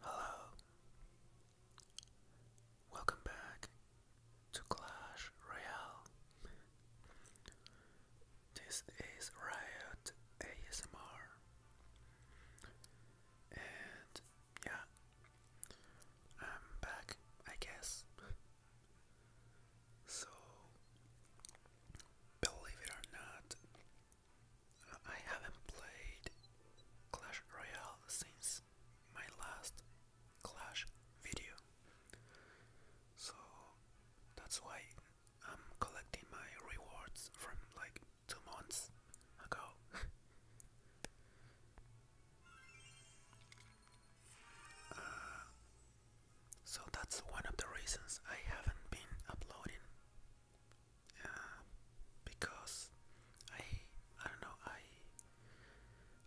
Hello. Welcome back to Clash Royale. This is Riot ASMR. And yeah, I'm back, I guess. So, believe it or not, I haven't played Clash Royale since my last Clash video. So that's why I'm collecting my rewards from like two months ago. Uh, so that's one of the reasons I haven't been uploading because I I don't know I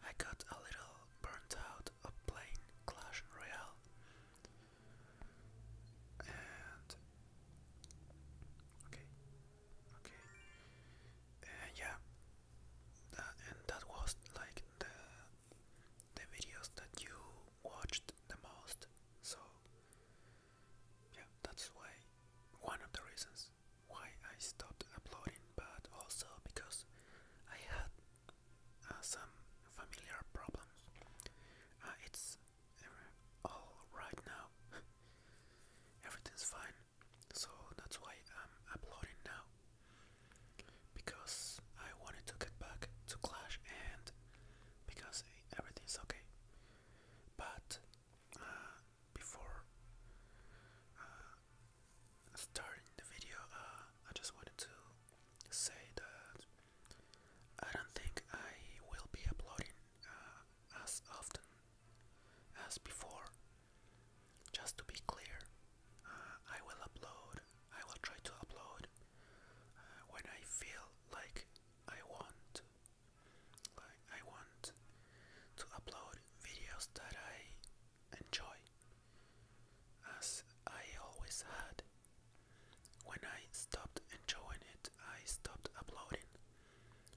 I got a little burnt out of playing Clash Royale and okay okay yeah that, and that was like the the videos that you watched the most so yeah, that's why one of the reasons why I stopped uploading, but also because I had uh, some familiar problems. Uh, it's uh, all right now, everything's fine, so that's why I'm uploading now because I wanted to get back to Clash and because everything's okay. But uh, before uh, starting the video, uh, I just wanted to say that I don't think I will be uploading as often as before. Just to be clear, I will upload, I will try to upload when I feel like I want. I want to upload videos that I enjoy, as I always had. When I stopped enjoying it, I stopped uploading.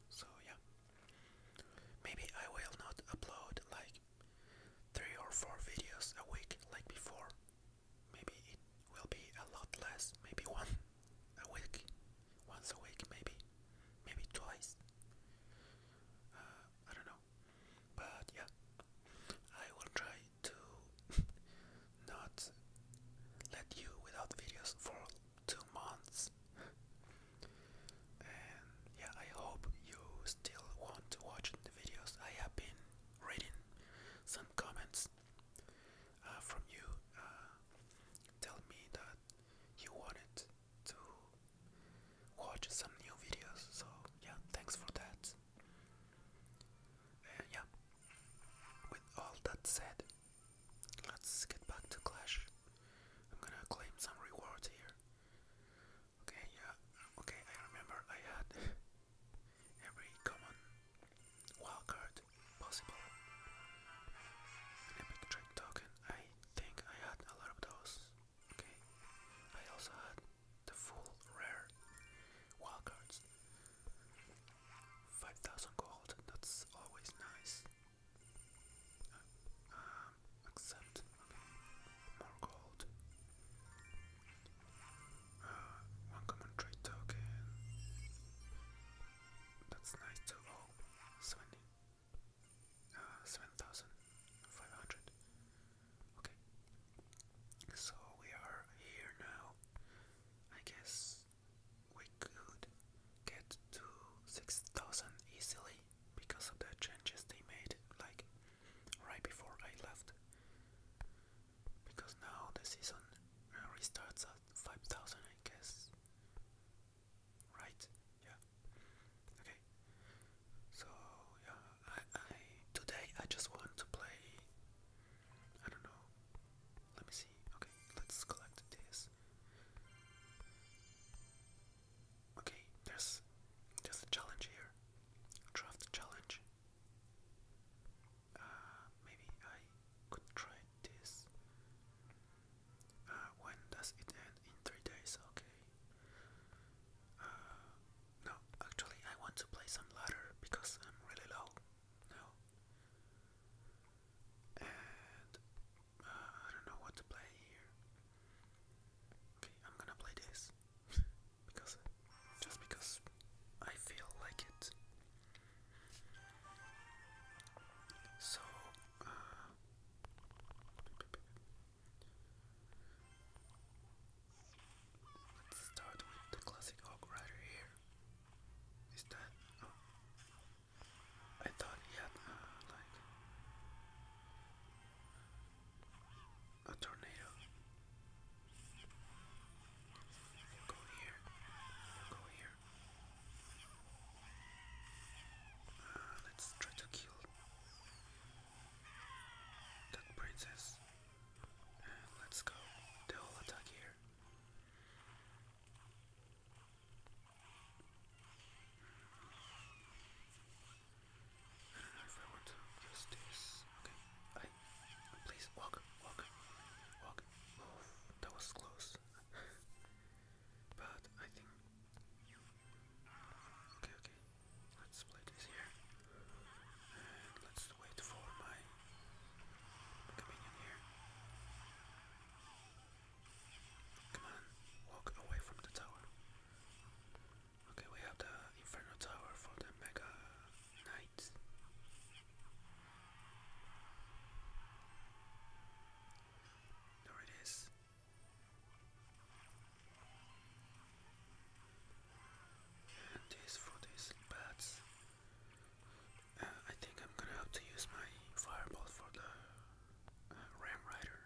So yeah, maybe I will not upload like three or four videos a week like before maybe it will be a lot less, maybe one a week, once a week, maybe, maybe twice. Uh, I don't know, but yeah, I will try to not let you without videos for two months. And yeah, I hope you still want to watch the videos. I have been reading some comments uh, from you uh, tell me that you wanted to watch some new videos. So yeah, thanks for that. yeah, with all that said, let's get back to Clash. I'm gonna claim some rewards here. Okay, yeah, okay, I remember I had every common card, possible. Epic trick token. I think I had a lot of those. Okay. I also had the full rare wildcards. 5000 gold, that's always nice. Uh, um, accept, okay. More gold. Uh, one common trade token. That's nice too. 70. Uh, 7,500. Okay. So we are here now. I guess we could get to 6,000 easily because of the changes they made, like right before I left because now the season uh, restarts at 5000 I guess right yeah okay so yeah I, I today I just want to play I don't know let me see okay let's collect this okay there's there's a challenge here draft challenge uh, maybe I could try this. Uh, when does it end? In three days, okay. Uh, no, actually, I want to play some ladder because I'm really low now. And I don't know what to play here. Okay, I'm gonna play this because just because I feel like it. So, uh, let's start with the classic hog rider here. Is that? Oh, I thought he had uh, like a tornado. Go here. Go here. let's try to kill that princess. let's go. They all attack here. I want to Okay, please walk, walk, walk. Oh, that was close. but I think. Okay, okay. Let's play this here. And let's wait for my companion here. Come on, walk away from the tower. Okay, we have the Inferno Tower for the Mega there it is. And this for these bats. Uh, I think I'm gonna have to use my fireball for the uh, Ram Rider.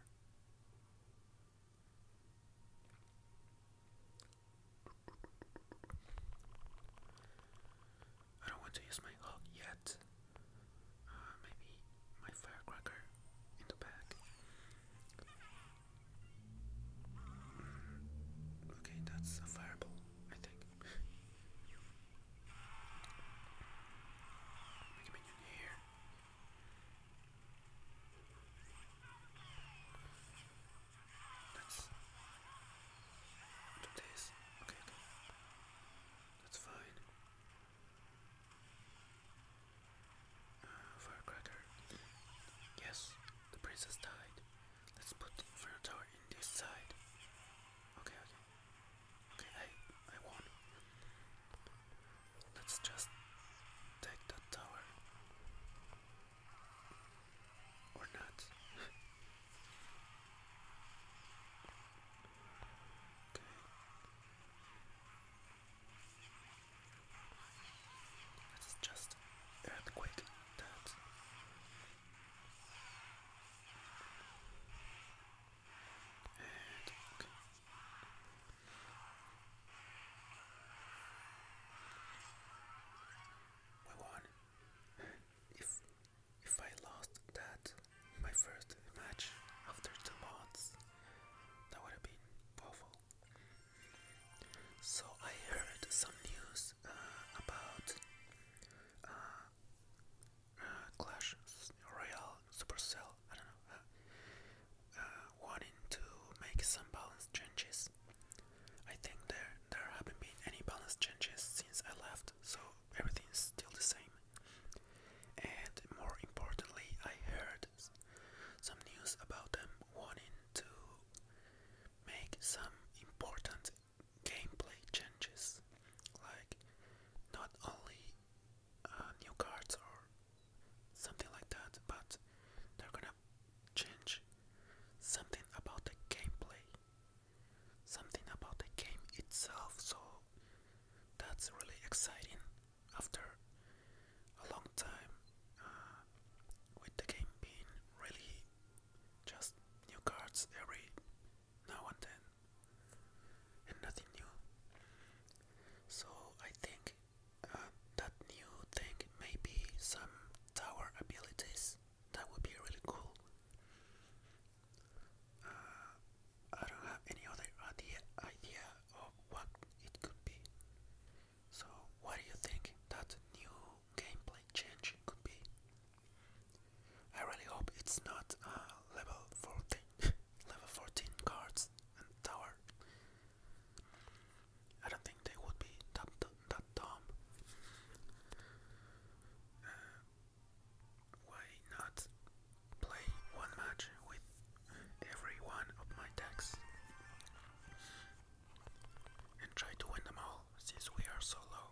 I don't want to use my hook yet. Uh, maybe my firecracker in the back. Mm, okay, that's a fireball, I think. Make a minion here. That's do this. Okay, okay. That's fine. Uh, firecracker. Yes, the princess died. Let's put the inferno tower in this side. Okay, okay. Okay, I I won. Let's just take that tower. Or not. okay. It's just earthquake that. okay. We won. if if I lost that, my first match after two months, that would have been awful. So I heard some news uh, about clashes, uh, uh, Clash Royale Supercell. I don't know, uh, wanting to make some balance changes. I think there there haven't been any balance changes since I left, so everything is still the same. And more importantly, I heard some news about them wanting to make some important gameplay changes, like not only uh, new cards or something like that, but they're gonna change something about the gameplay something about the game itself, so that's really exciting after a long time uh, with the game being really just new cards every now and then and nothing new. So I think uh, that new thing may be some tower abilities that would be really cool. Uh, I don't have any other idea idea of what it could be. So, what do you think that new gameplay change could be? I really hope it's not level 14, level 14 cards and tower. I don't think they would be that, that, dumb. Uh, why not play one match with every one of my decks and try to win them all since we are so low?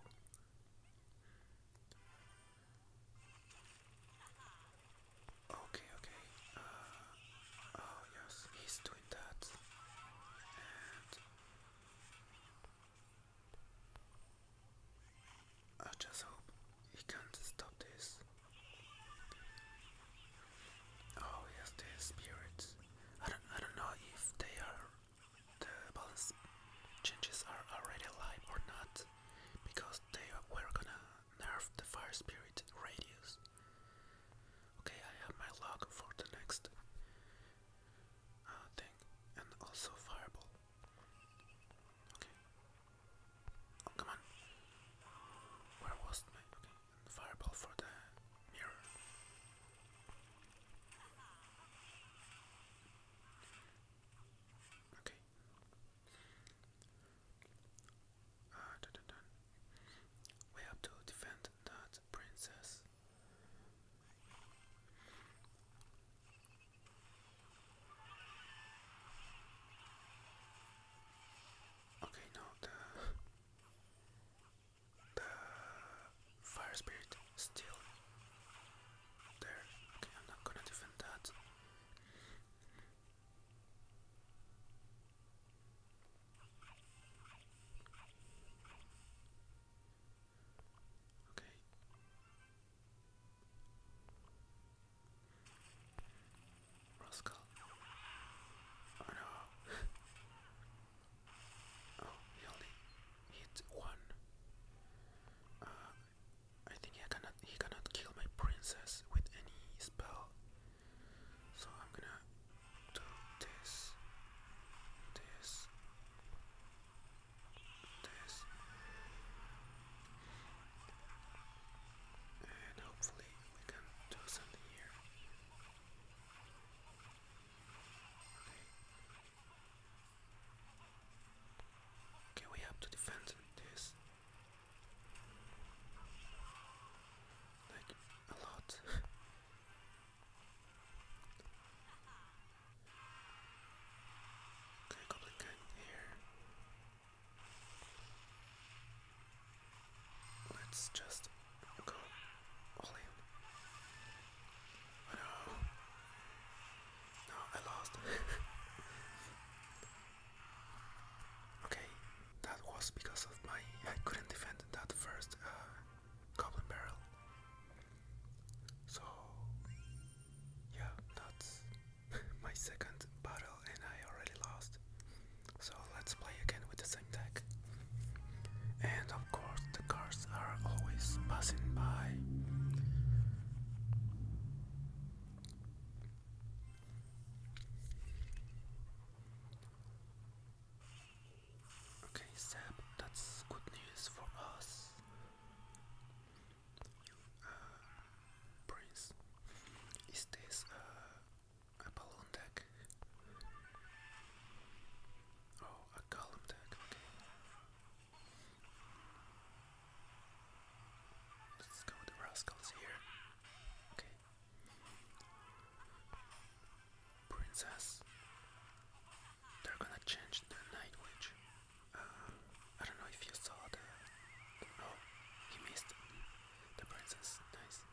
Okay, okay. Uh, oh, yes, he's doing that. I just hope he can stop this. Oh yes, the spirits. I don't, I don't know if they are the balance changes are already alive or not, because they were gonna nerf the fire spirit radius. Okay, I have my luck for the next uh, thing, and also fireball. Okay. Oh come on. Where was my fireball for the mirror. Okay. Uh, dun, dun, dun. We have to defend that princess Okay, no, the the fire spirit still there. Okay, I'm not gonna defend that. Rascal. Oh no. oh, he hit one. Uh, I think he cannot he cannot kill my princess with any spell. So I'm gonna do this, this, this and hopefully we can do something here. Okay, we have to defend this like a lot. Okay, goblin king here. let just go all no. No, I lost. okay, that was because of my I couldn't defend that first uh, barrel. So yeah, that's my second battle and I already lost. So let's play again with the same deck. And of course the cards are always passing by. Okay, Seb, that's good news for us. Prince. Is this uh, a balloon deck? Oh, a column deck, okay. Let's go with the rascals here. Okay. Princess they're gonna change the Night Witch. Uh, I don't know if you saw the. Oh, he missed the princess. Nice.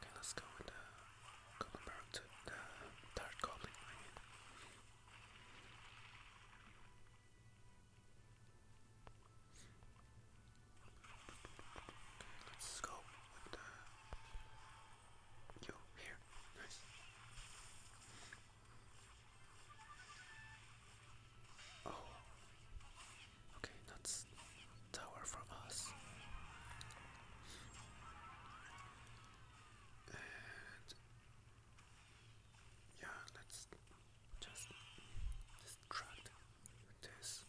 Okay, let's go with the Goblin Baron to the Dark Goblin. let's go with the Yo, here. Nice. Oh. Okay, that's tower from us. And yeah, let's just distract with this.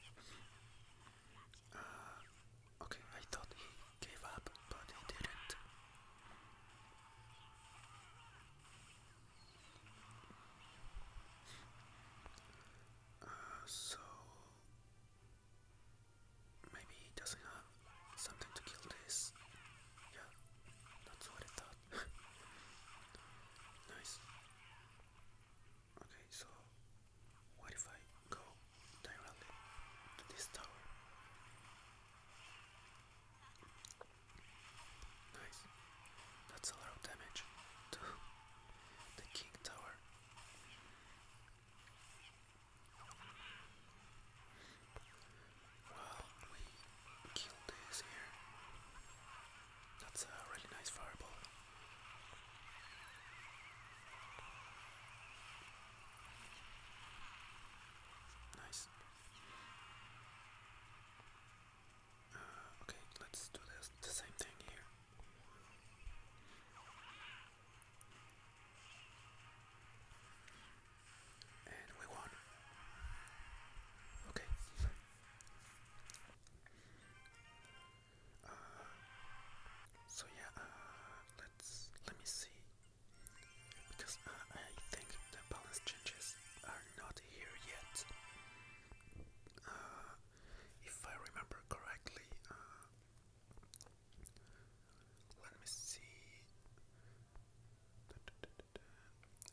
Uh, okay, I thought he gave up, but he didn't. Uh, so maybe he doesn't have something to kill this. Yeah, that's what I thought. nice. Okay, so what if I go directly to this tower? Nice. That's a lot of damage to the king tower. Well, we killed this here. That's a really nice fireball. Nice. Uh, okay, let's do the same thing here. And we won. Okay. Uh, so yeah, uh, let's let me see because I think the balance changes are not here yet. Uh, if I remember correctly, uh, let me see.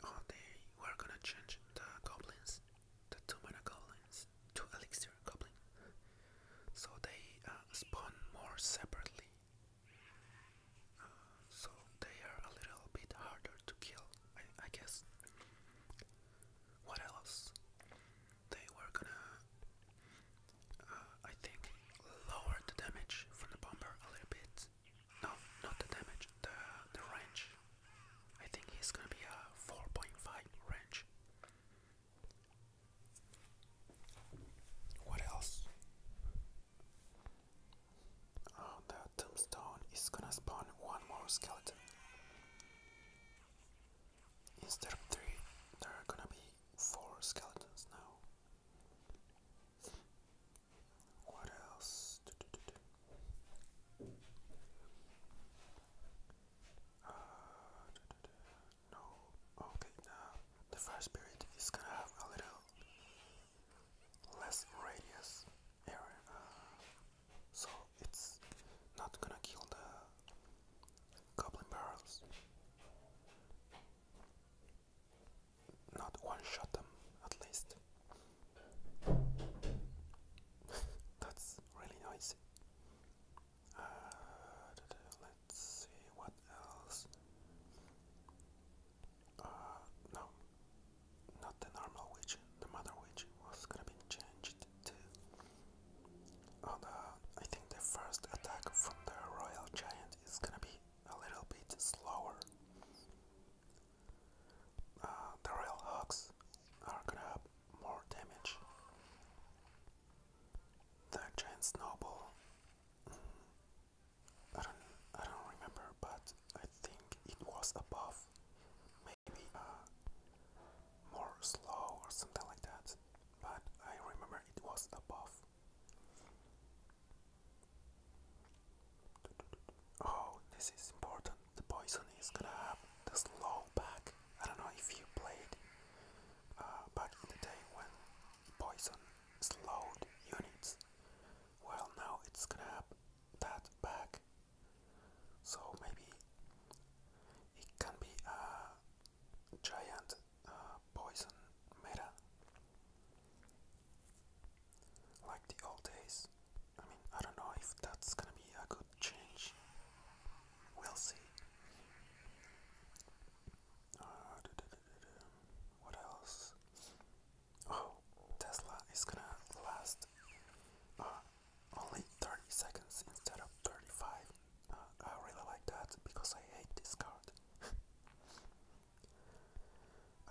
Oh, they were gonna change the goblins, the two goblins, to elixir goblin, so they uh, spawn more separately. Uh, so they are a little bit harder to kill, I, guess. What else? They were gonna, uh, I think, lower the damage from the bomber a little bit. No, not the damage, the, the range. I think he's gonna be a 4.5 range. What else? Oh, the tombstone is gonna spawn one more skeleton. Instead of three, there are gonna be four skeletons now. What else? Ah, no. Okay, the first period is gonna have a little less radius area, uh, so it's not gonna kill the goblin barrels. Not one shot them, at least. That's really noisy. Uh, let's see what else. Uh, no, not the normal witch. The mother witch was gonna be changed to. Oh, the, I think the first attack from the royal giant is gonna be a little bit slower. Uh, the royal hawks are gonna have more damage. The giant snowball. Mm. I don't. I don't remember, but I think it was above, maybe uh, more slow or something like that. But I remember it was above. Oh, this is important. The poison is gonna have the slow back. I don't know if you played uh, back in the day when poison slowed units. Well, now it's gonna have that back, so maybe it can be a giant uh, poison meta like the old days. I mean, I don't know if that's gonna be a good change. We'll see. Uh, What else? Oh, Tesla is gonna last uh, only 30 seconds instead of 35. Uh, I really like that because I hate this card.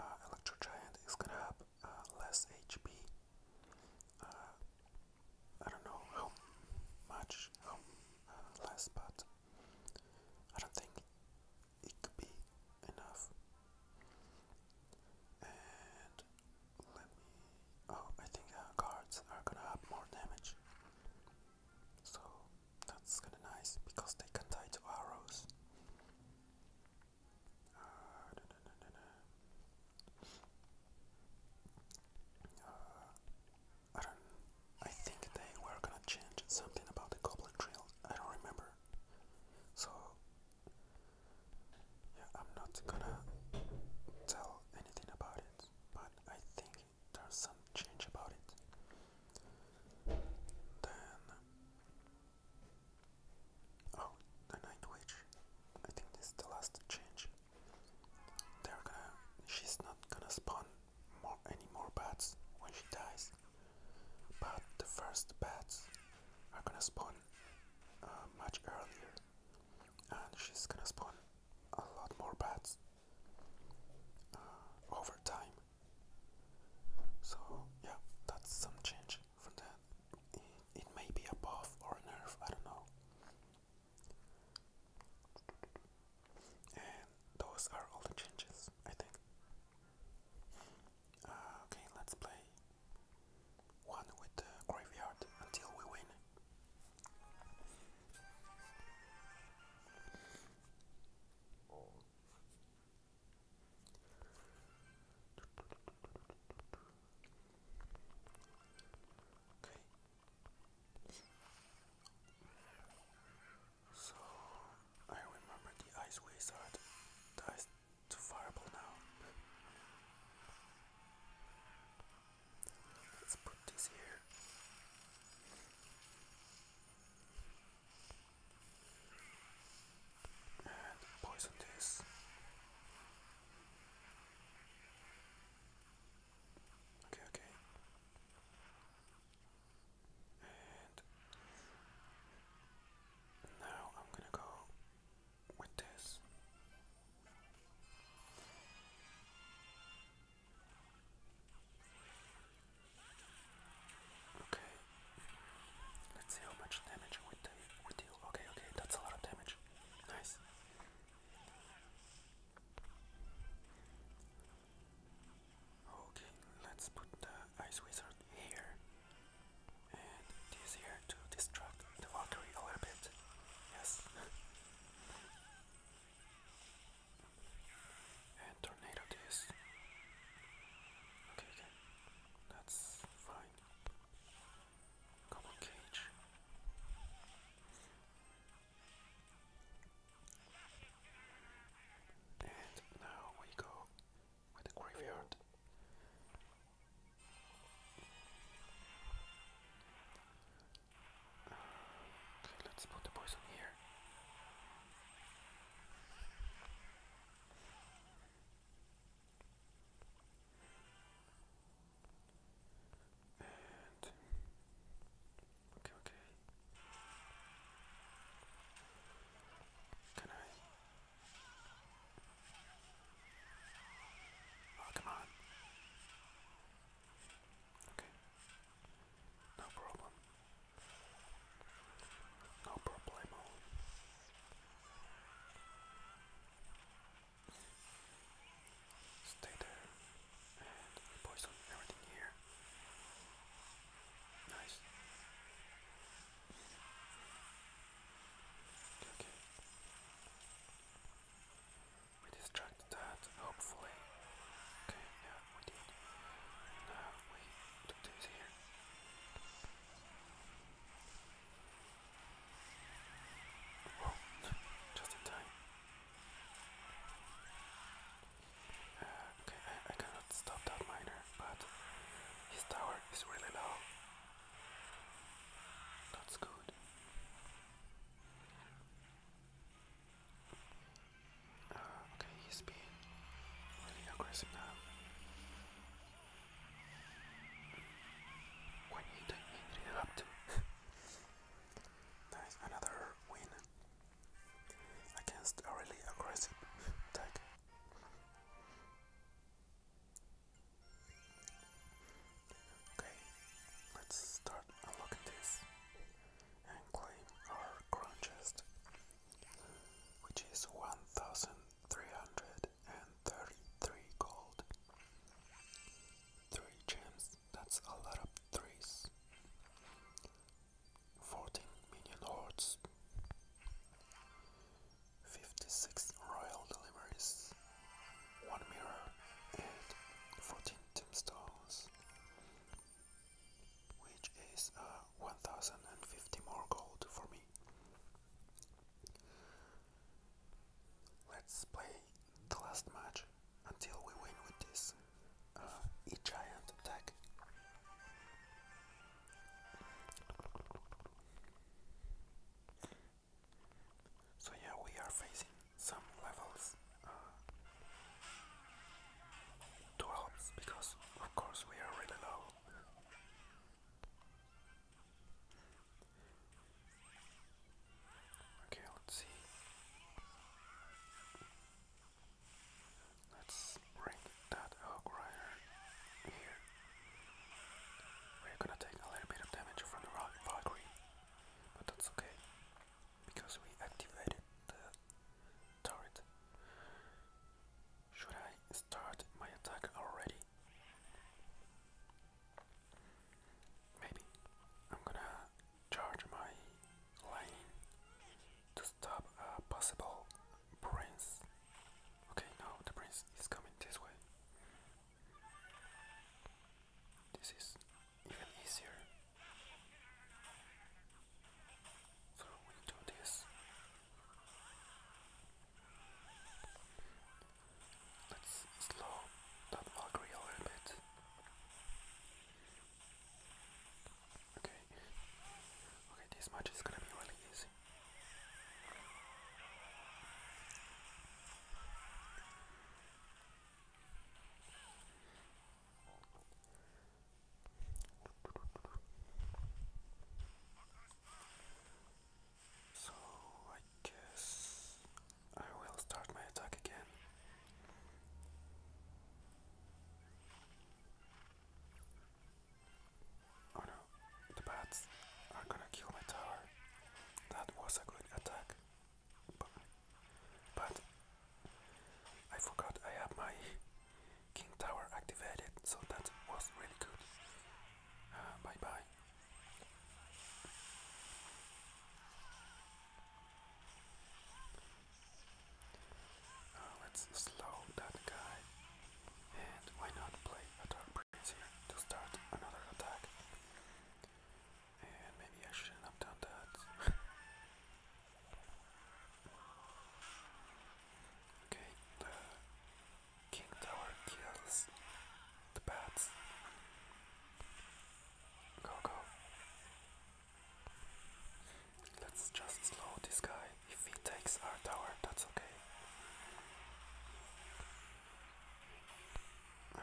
Uh, Electro Giant is gonna have uh, less HP. Uh, I don't know how much, uh, less, but I don't think it could be enough. And let me. Oh, I think our cards are gonna have more damage. So that's kinda nice because they can tie to arrows. Uh, I don't. I think they were gonna change something about the Goblin Trail. I don't remember. So yeah, I'm not gonna tell anything about it. But I think there's some change about it. Then oh, the Night Witch. I think this is the last change. They're gonna. She's not gonna spawn more, any more bats when she dies. But the first bats are gonna spawn uh, much earlier, and she's gonna spawn a lot more bats uh, over time. So yeah, that's some change for that. it may be a buff or a nerf, I don't know. And those are all the changes, I think. Uh, okay, let's play one with the graveyard until we win. Okay, so I remember the ice wizard dies to fireball now. Let's put this here. And poison this. Okay, okay now I'm gonna go with this. Okay. Let's see how much damage we do. Okay, okay, that's a lot of damage. Nice. Okay, let's put the ice wizard here and this here to distract the Valkyrie a little bit. Yes. and tornado this. Okay, That's fine. Couple cage. And now we go with the graveyard. Uh, let's put the poison here. Okay, okay. Can I? Oh, come on. Okay. No problem. No problemo. Stay there. We distracted that, hopefully. Okay, yeah, we did. Now we do this here. Whoa, just in time. Okay, I, cannot stop that miner, but his tower is really low. That's good. Uh, okay, he's being really aggressive now. When he ended up to. nice, another win against a really aggressive attack. Okay, let's start unlocking this and claim our crown chest, which is 1333 gold. 3 gems, that's a lot of threes. 14 million hordes, 56 royal deliveries, 1 mirror, and 14 tombstones, which is uh, 1050 more gold for me. Let's play the last match until we win with this. Uh, a giant attack. So yeah, we are facing some levels uh, 12s because of course we are really low. Okay, let's see. Let's bring that hook rider here. We're gonna take a little bit of damage from the rock Valkyrie, but that's okay because we activated the turret. Should I start my attack already? Maybe. I'm gonna charge my lightning to stop a possible prince. Okay, now the prince is coming this way. This is even easier. So we do this. Let's slow that Valkyrie a little bit. Okay. Okay, this match is gonna be really easy. So I guess I will start my attack again. Oh no, the bats are gonna kill my tower. That was a good attack. But, I forgot I had my king tower activated, so that was really good. Uh, bye bye. Uh, let's slow that guy. And why not play a Dark Prince here to start another attack? And maybe I shouldn't have done that. okay, the King Tower kills the bats. Go, go. Let's just slow this guy. If he takes our tower, that's okay. Uh,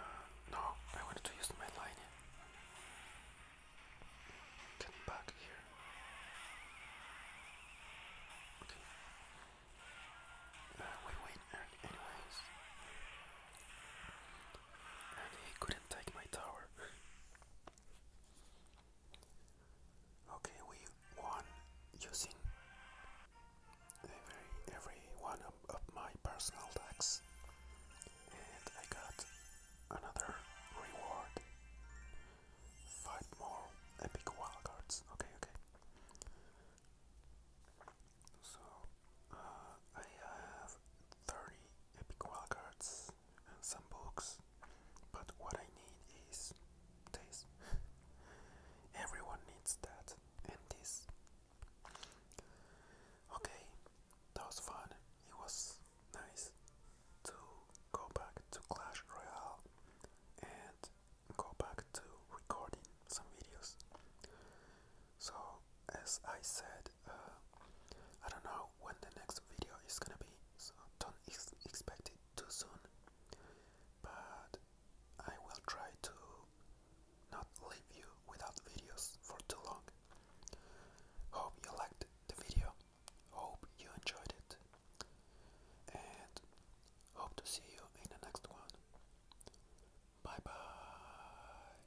no, I wanted to use my line. Get back here. Okay. Uh, we anyways. And he couldn't take my tower. Okay, we won using every every one of, my personal decks, and I got another reward. Five more epic wildcards. Okay, okay. So uh, I have thirty epic wildcards and some books, but what I need is this. Everyone needs that and this. Okay, that was fun. It was nice to go back to Clash Royale and go back to recording some videos. So as I said, uh, I don't know when the next video is gonna be, so don't expect it too soon. But I will try to not leave you without videos for too long. Hope you liked the video, hope you enjoyed it, and hope to see you in the next one. Bye bye.